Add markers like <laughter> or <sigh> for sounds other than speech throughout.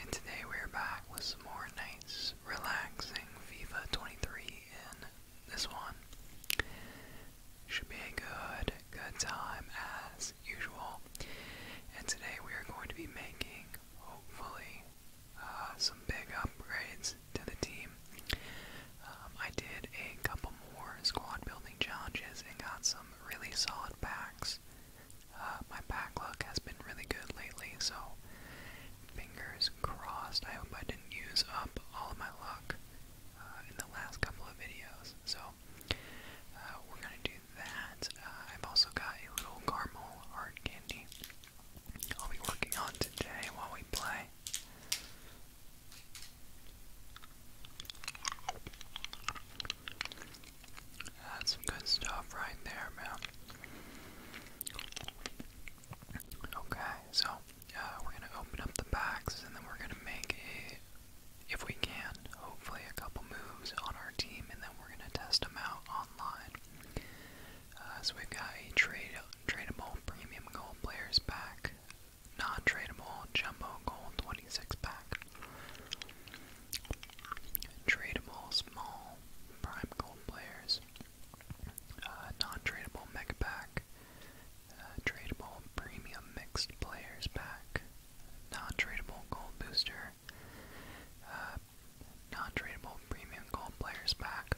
And today we're back with some more nice, relaxing FIFA 23 And this one. Should be a good, good time as usual. And today we are going to be making, hopefully, uh, some big upgrades to the team. Um, I did a couple more squad building challenges and got some really solid packs. Uh, my backlog has been really good lately, so fingers crossed. I hope I didn't use up all of my luck uh, in the last couple of videos. So uh, we're gonna do that. Uh, I've also got a little caramel hard candy. I'll be working on today while we play. That's some good stuff right there, man. Okay, so uh, we're gonna open up the box and then we're gonna make a, if we can, hopefully a couple moves on our team, and then we're gonna test them out online. Uh, so we've got a trade, tradable premium gold players pack, non-tradable jumbo gold 26 pack. Tradable small prime gold players. Uh, non-tradable mega pack. Uh, tradable premium mixed players pack. Non-tradable gold booster. Uh, non-tradable premium gold players pack.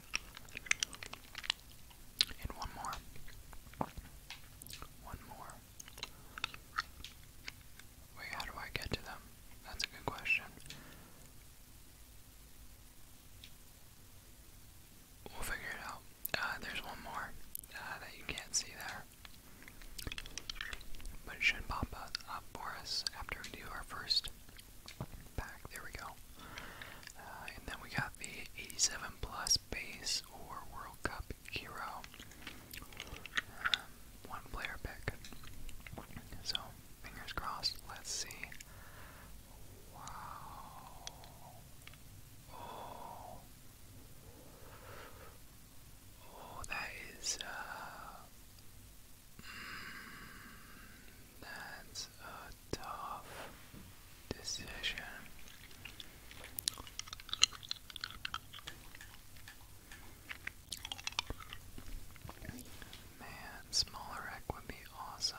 And one more. One more. Wait, how do I get to them? That's a good question. We'll figure it out. Uh, there's one more uh, that you can't see there. But it should pop up, for us after we do our first pack. There we go. Uh, and then we got the 87 plus base or World Cup hero. Um, one player pick. So, fingers crossed, let's see. Wow. Oh. that is, uh, mm, that's a tough decision. Man, smaller rec would be awesome.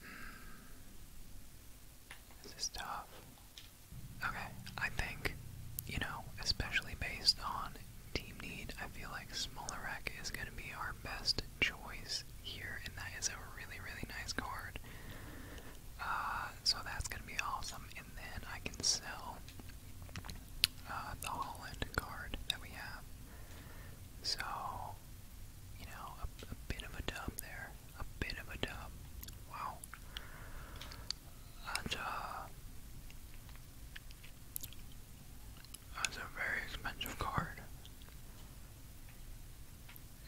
Hmm. This is tough. Okay, I think, you know, especially based on team need, I feel like Smaller Wreck is going to be our best choice here, and that is a really, really nice card. Uh, so that's going to be awesome, and then I can sell uh, the Holland card that we have. So, you know, a, bit of a dub there. A bit of a dub. Wow. And, uh, that's a very expensive card.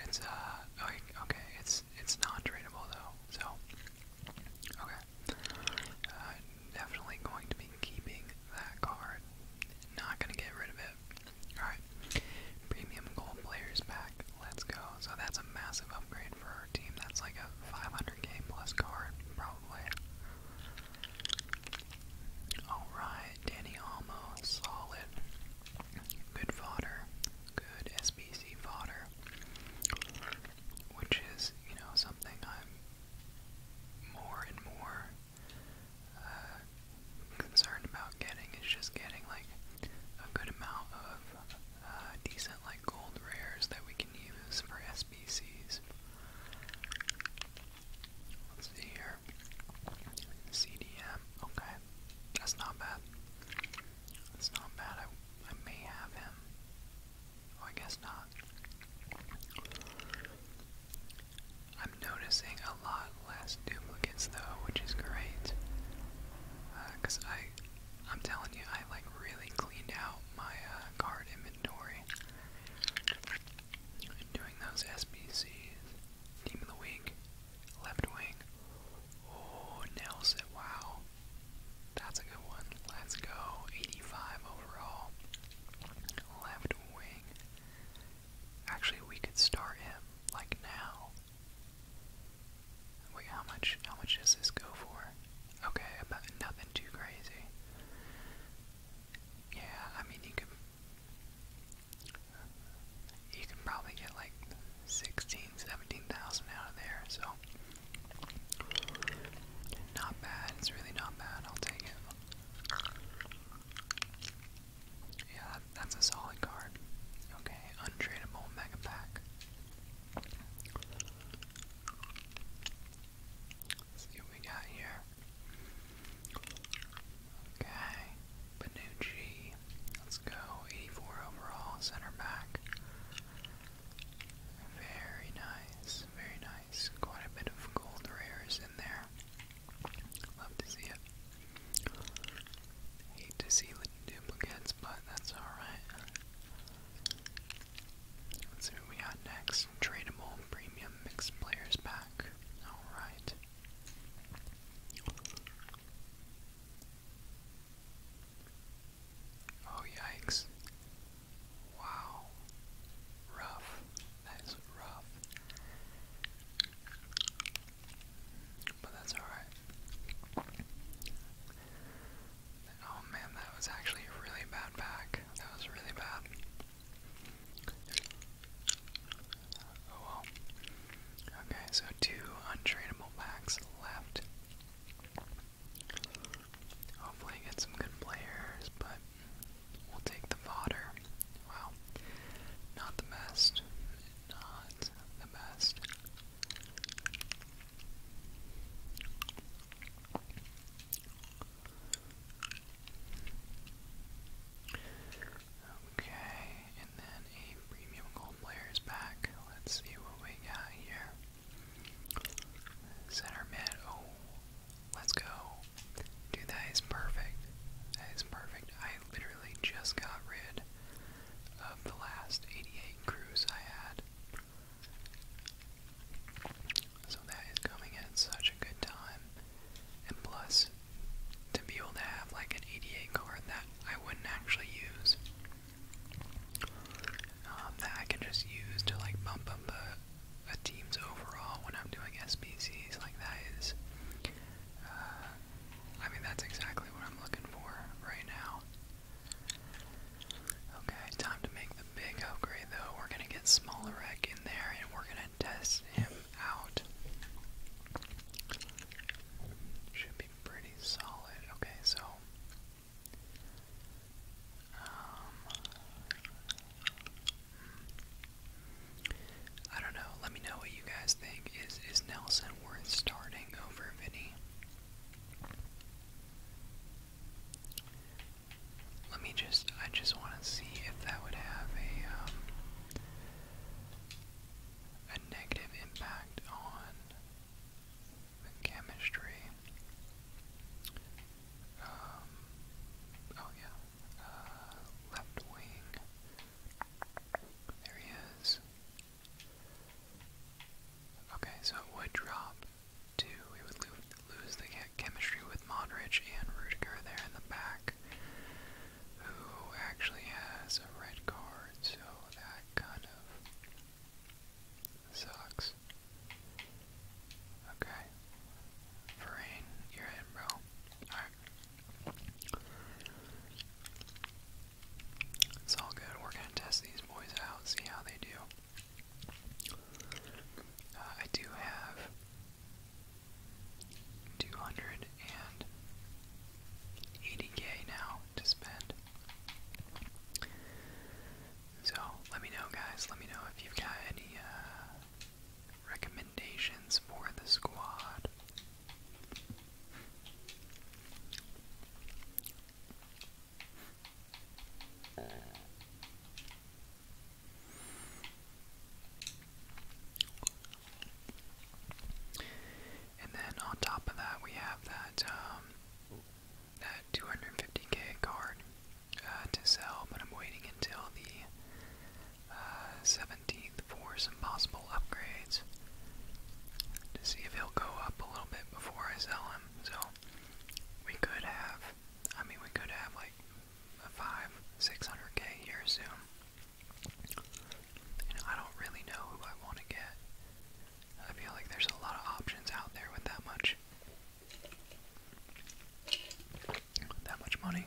It's uh like okay, it's it's non tradable though, so okay. Uh, definitely going to be keeping that card. Not gonna get rid of it. Alright. Premium gold players back. Let's go. So that's a massive upgrade for our team. That's like a 500k plus card, probably. Alright, Danny Almo, solid. Good fodder. Good SBC fodder. Which is, you know, something I'm more and more uh, concerned about getting. Is just getting, like, a good amount of uh, decent, like, gold rares that we can use for SBCs. Let's see here. CDM. Okay. That's not bad. That's not bad. I, I may have him. Oh, I guess not. I'm noticing a lot less duplicates though, which is great. Uh, Cause I, I'm telling you, I like really cleaned out my uh, card inventory doing those SBCs, team of the week, left wing. Oh, Nelson, wow. That's a good one. Let's go. 85 overall. Left wing. Actually, we could start him like now. Wait, how much? How much does this go for? Okay, about nothing too crazy. Yeah, I mean, you could you can probably get like 16, 17,000 out of there, so not bad. It's really not bad. I'll take it. Yeah, that's a solid card. Okay, untradeable mega pack. Let's we got here. Okay, Benucci. Let's go. 84 overall, center back. Very nice, very nice. Quite a bit of gold rares in there. Love to see it. Hate to see the duplicates, but that's alright. Let's see what we got next. Tradable premium mixed players pack. Alright. Oh, yikes. Wow. Rough. That is rough. But that's alright. Oh man, that was actually really bad pack. That was really bad. Okay, so two untradeable packs left. Hopefully, get some good players, but we'll take the fodder. Wow, not the best. Not the best. Okay, and then a premium gold player's back. Let's see what we got here. Center mid. Oh, let's go. Dude, that is perfect. That is perfect. I literally just got rid of the last 88 crews I had. So that is coming at such a good time. And plus, to be able to have like an ADA card that I wouldn't actually use, um, that I can just use to like bump up a, team's overall when I'm doing SBCs, like that is, uh, I mean, that's exactly what I'm looking for right now. Okay, time to make the big upgrade though. We're gonna get Smaller Wreck in there and we're gonna test him out. Should be pretty solid. Okay, so um, I don't know. Let me know what you guys think. Is is Nelson worth starting over Vinnie? Let me just I just want to see if that would have a um, a negative impact on chemistry. Um, oh yeah, uh, left wing. There he is. Okay, so it would drop to, we would lose the chemistry with Modric and Rudiger there in the back who actually has a red card, so that kind of sucks. Okay. Varane, you're in, bro. Alright. It's all good. We're gonna test these boys out, see how they do. Uh, I do have 280k now to spend. So let me know, guys. Let me know if you've got any uh, recommendations for the squad. And then on top of that, we have that um, that 250k card uh, to sell, but I'm waiting until the 17th uh, for some possible upgrades to see if he'll go up a little bit before I sell him. So we could have, I mean, we could have like a five, 600k here soon. And I don't really know who I want to get. I feel like there's a lot of options out there with that much that much money.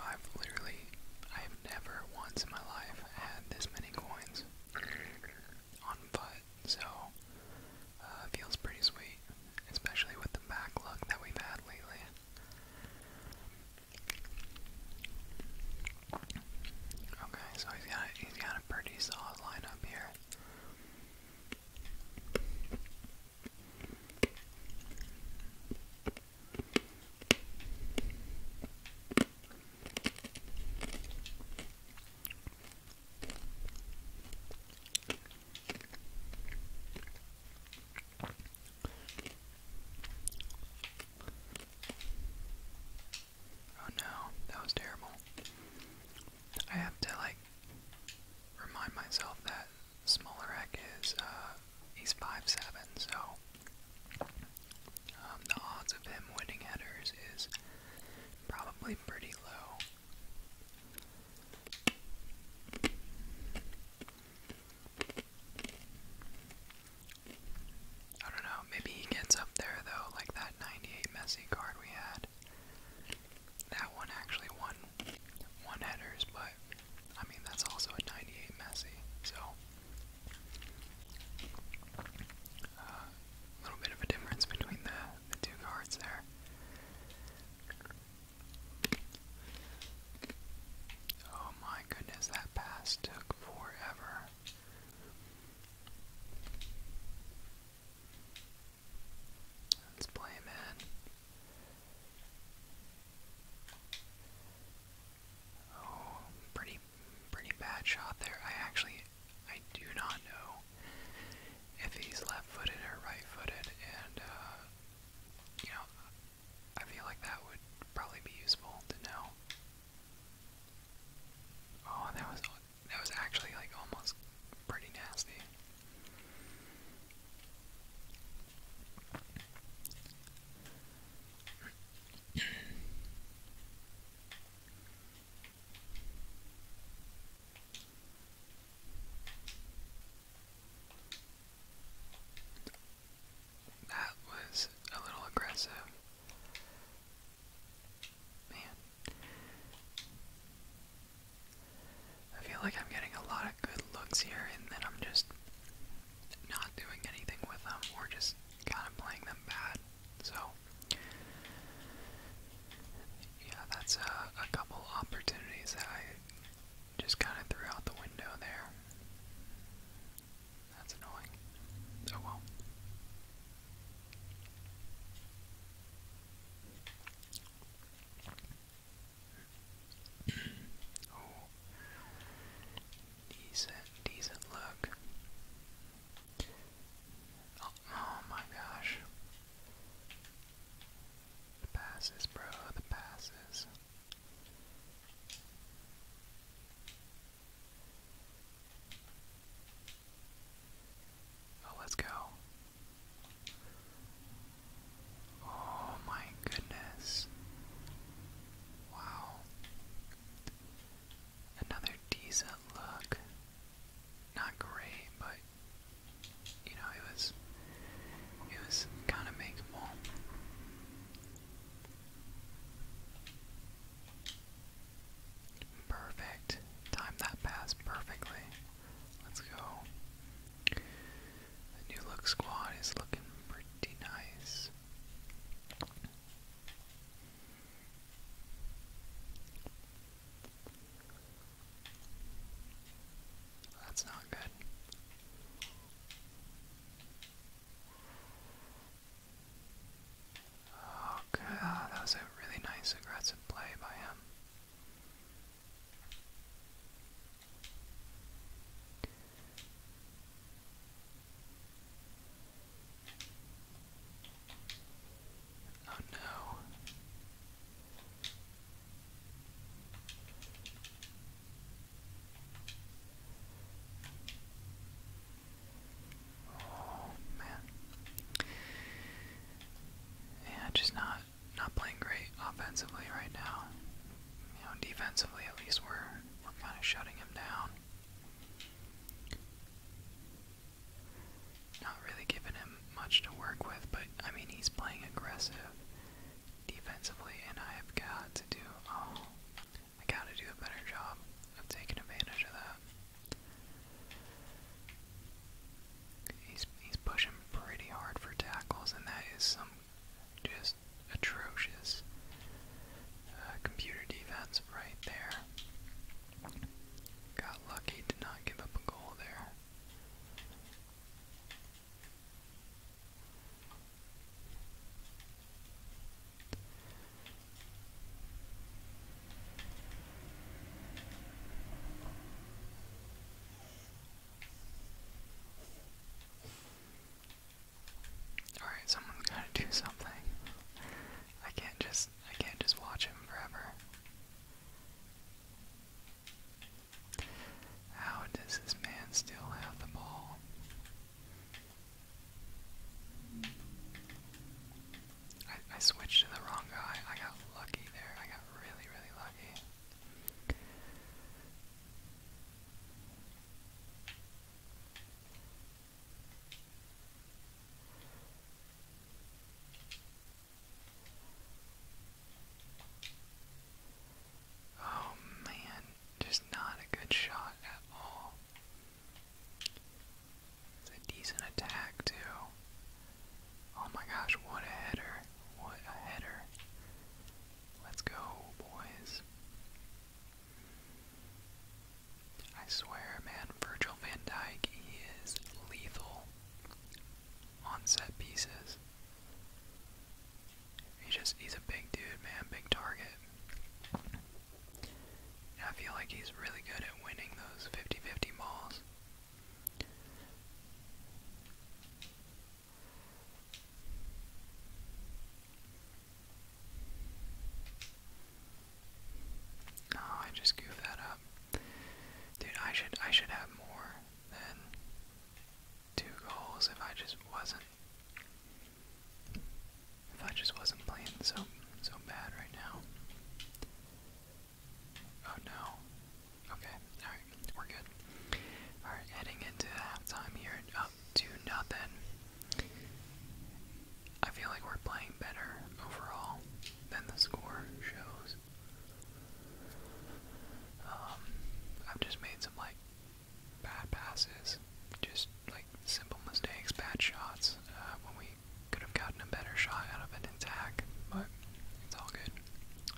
I've literally, I've never once in my life had this many coins on five so uh, it feels pretty sweet, especially with the back backlog that we've had lately. Okay, so he's got he's got a pretty solid lineup here. Oh no, that was terrible. I have to like remind myself that Smolarek is uh he's five seven, so um, the odds of him winning headers is probably pretty low. I don't know, maybe he gets up there though, like that 98 Messi card we had. That one actually won one headers, but I mean, that's also a 98 Messi, so. A uh, little bit of a difference between the two cards there. Oh my goodness, that pass took forever. Let's play him in. Oh, pretty pretty bad shot there. I actually I do not know if he's left-footed or right-footed, and uh, you know, I feel like that would probably be useful to know. Oh, that was that was actually like almost pretty nasty. That was a little aggressive. Man. I feel like I'm getting a lot of good looks here, and then I'm just not doing anything with them, or just kind of playing them bad. So, yeah, that's a, a couple opportunities that I just kind of threw out the window there. That's annoying. Oh well. <clears throat> oh, decent, decent look. Oh, oh my gosh. The passes, bro, the passes. Oh, let's go. Oh my goodness. Wow. Another decent look not great, but you know, it was it was kind of makeable. Perfect. Time that pass perfectly. Let's go. The new look squad is looking pretty nice. That's not good. Okay, oh, that was a really nice aggressive play by him. Oh no. Oh man. Yeah, just not not playing great offensively right now. You know, defensively at least we're we're kind of shutting him down not really giving him much to work with, but I mean, he's playing aggressive defensively, and I have got to do, oh, I gotta do a better job of taking advantage of that. He's, he's pushing pretty hard for tackles, and that is some just atrocious uh, computer defense right there. Got lucky to not give up a goal there. All right, someone's got to do something. I can't just I can't just watch him forever. How does this man still have the ball? I, switched to the wrong guy. I got lucky there. I got really, really lucky. Oh man, just not a good shot at all. It's a decent attack too. Oh my gosh, what a header. What a header. Let's go, boys. I swear, man, Virgil van Dyke, he is lethal on set pieces. He just he's a big dude, man, big target. I feel like he's really good at winning those 50-50 balls. Oh, I just goofed that up. Dude, I should I should have more than two goals if I just wasn't if I just wasn't playing so so bad right now. Oh no. Okay, alright, we're good. Alright, heading into halftime here up to nothing. I feel like we're playing better overall than the score shows. Um, I've just made some like bad passes, just like simple mistakes, bad shots uh, when we could have gotten a better shot out of an attack, but it's all good.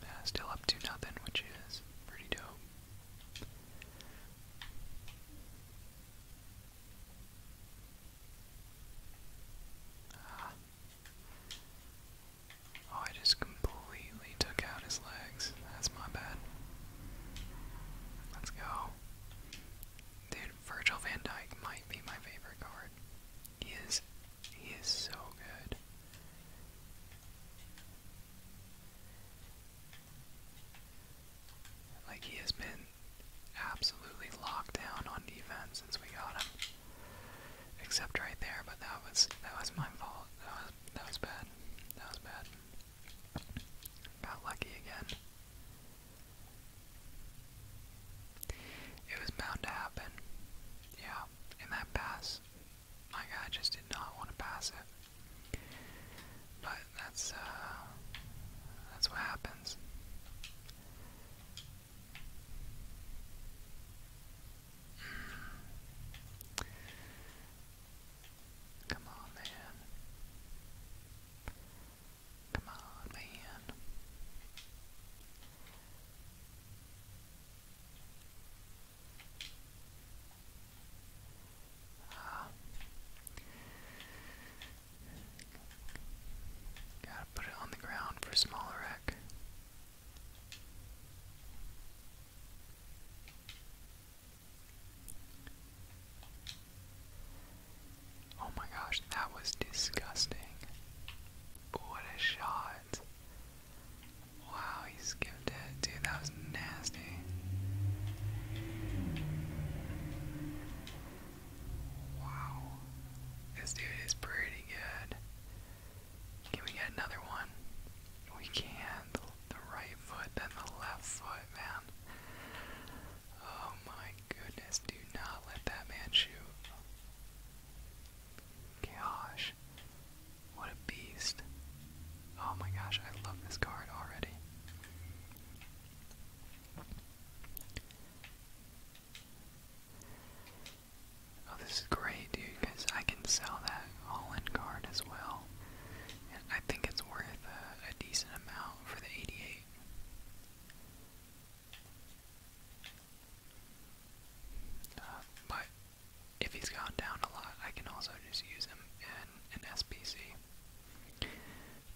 Uh, still up to nothing, which is pretty dope. Ah. Oh, I just completely took out his legs. That's my bad. Let's go. Dude, Virgil van Dyke might be my favorite card. He is he is so good. Like he has been absolutely locked down on defense since we got him. Except right there, but that was that was my fault. That was that was bad. That was bad. Got lucky again. It was bound to happen. Yeah, in that pass, my guy just did not want to pass it. But that's uh, that's what happens. Come on, man. Come on, man. Ah. Gotta put it on the ground for a smaller wreck. Oh my gosh, that was disgusting. What a shot. Wow, he skipped Dude, that was nasty. Wow. This dude is pretty good. Can we get another one? We can. The, right foot, then the left foot, man. Oh my goodness, do not let that man shoot. Gosh, what a beast. Oh my gosh, I love this card already. Oh, this is great, dude, because I can sell that Holland card as well. And I think it's worth a, decent amount for the 88. Uh, but if he's gone down a lot, I can also just use him in an SPC.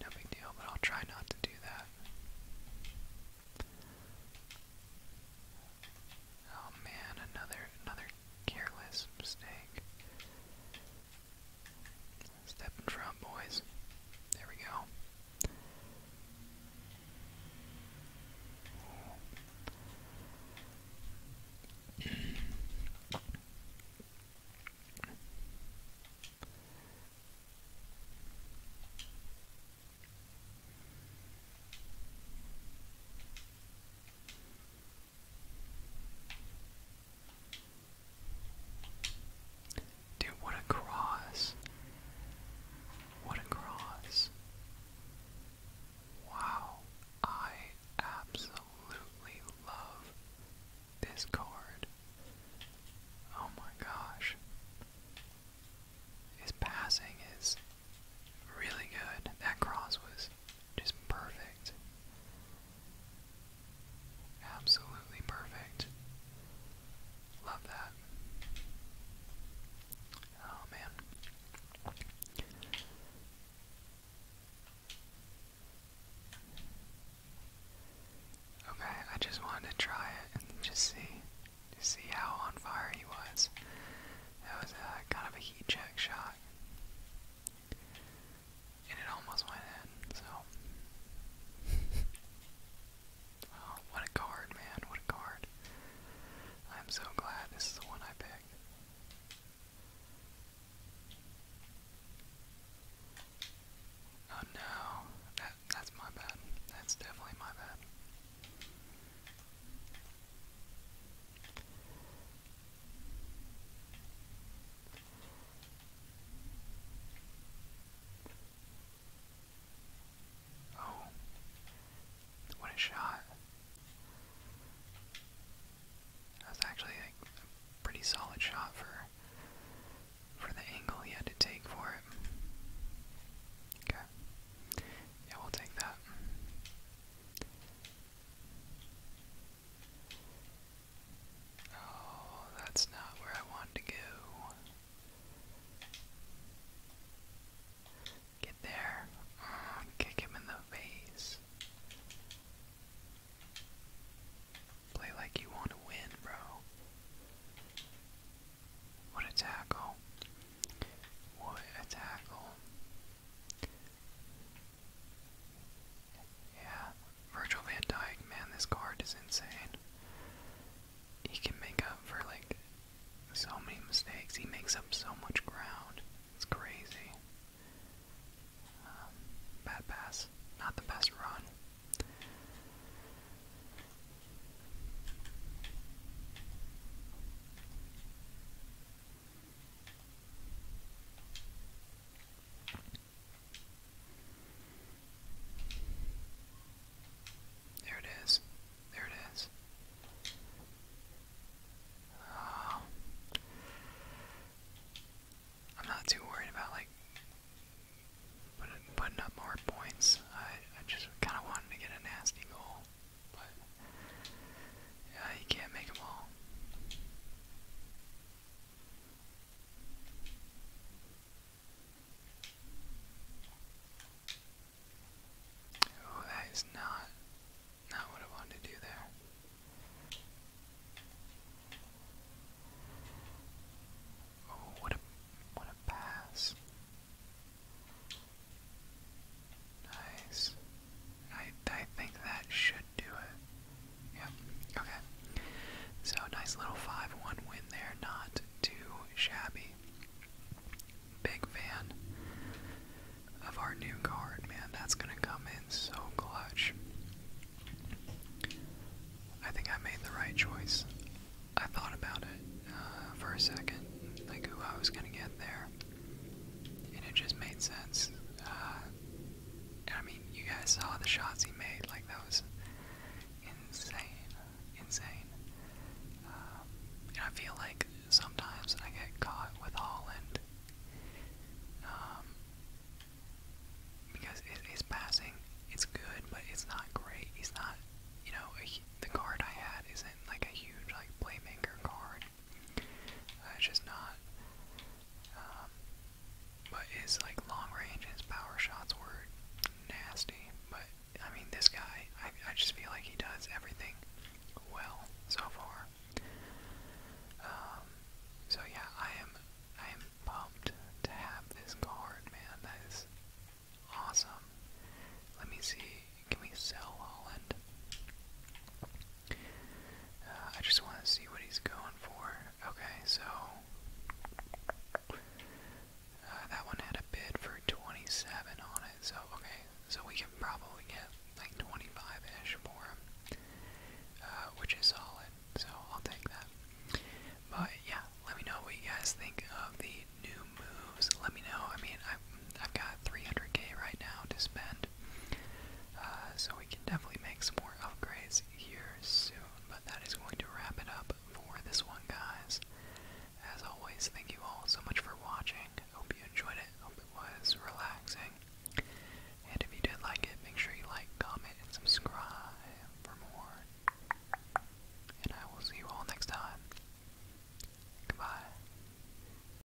No big deal, but I'll try not to do that. Oh man, another another careless mistake. Step in front, boys. There we go. Dude, what a cross. What a cross. Wow. I absolutely love this card. Oh my gosh. His passing is really good. That cross was just perfect. Absolutely perfect. Love that. Oh man. Okay, I just wanted to try it and just see, just see how on fire he was. That was a, uh, kind of a heat check shot. And it almost went in, so. <laughs> Oh, what a card, man. What a card. I'm so glad this is the one I picked. Oh no, that's my bad. That's definitely my bad. Oh, what a shot! That's actually like a pretty solid shot for for the angle he had to take for it. Okay. Yeah, we'll take that. Oh, that's not where I want to go. Get there. Mm, kick him in the face. Play like you want to win, bro. What a tackle. What a tackle. Yeah, Virgil van Dyke, man, this card is insane. He can make up for like so many mistakes. He makes up so much ground. It's crazy. Um, bad pass, not the best run. There it is. There it is. Um, I'm not too worried about like putting up more points. I I just kind of wanted to get a nasty goal yeah, you can't make them all. Oh, that is not not what I wanted to do there. Oh, what a what a pass. Nice. I I think that should do it. Yep. Okay. So nice little five-one win there. Not too shabby. Big fan of our new card, man. That's gonna come in so clutch. I think I made the right choice. I thought about it uh, for a second, like who I was gonna get there and it just made sense. Uh, I mean, you guys saw the shots he made, like that was insane, insane. Um, and I feel like sometimes I get caught with Holland um, because it, his passing, it's good, but it's not great. He's not, you know, a, the card I had isn't like a huge like playmaker card. Uh, just not. Um, but his like long range his power shots were nasty. But I mean, this guy, I I just feel like he does everything well so far. Um, so yeah, I am I am pumped to have this card, man. That is awesome. Let me see. Can we sell Holland? Uh, I just want to see what he's going for. Okay, so uh, that one had a bid for 27 on it. So okay, so we can probably get like 25-ish for him, uh, which is solid. So I'll take that. But yeah, let me know what you guys think of the new moves. Let me know. I mean, I've, I've got 300k right now to spend. Uh, so we can definitely make some more upgrades here soon. But that is going to wrap it up for this one, guys. As always, thank you all so much for watching. Hope you enjoyed it. Hope it was relaxing. And if you did like it, make sure you like, comment, and subscribe for more. And I will see you all next time. Goodbye.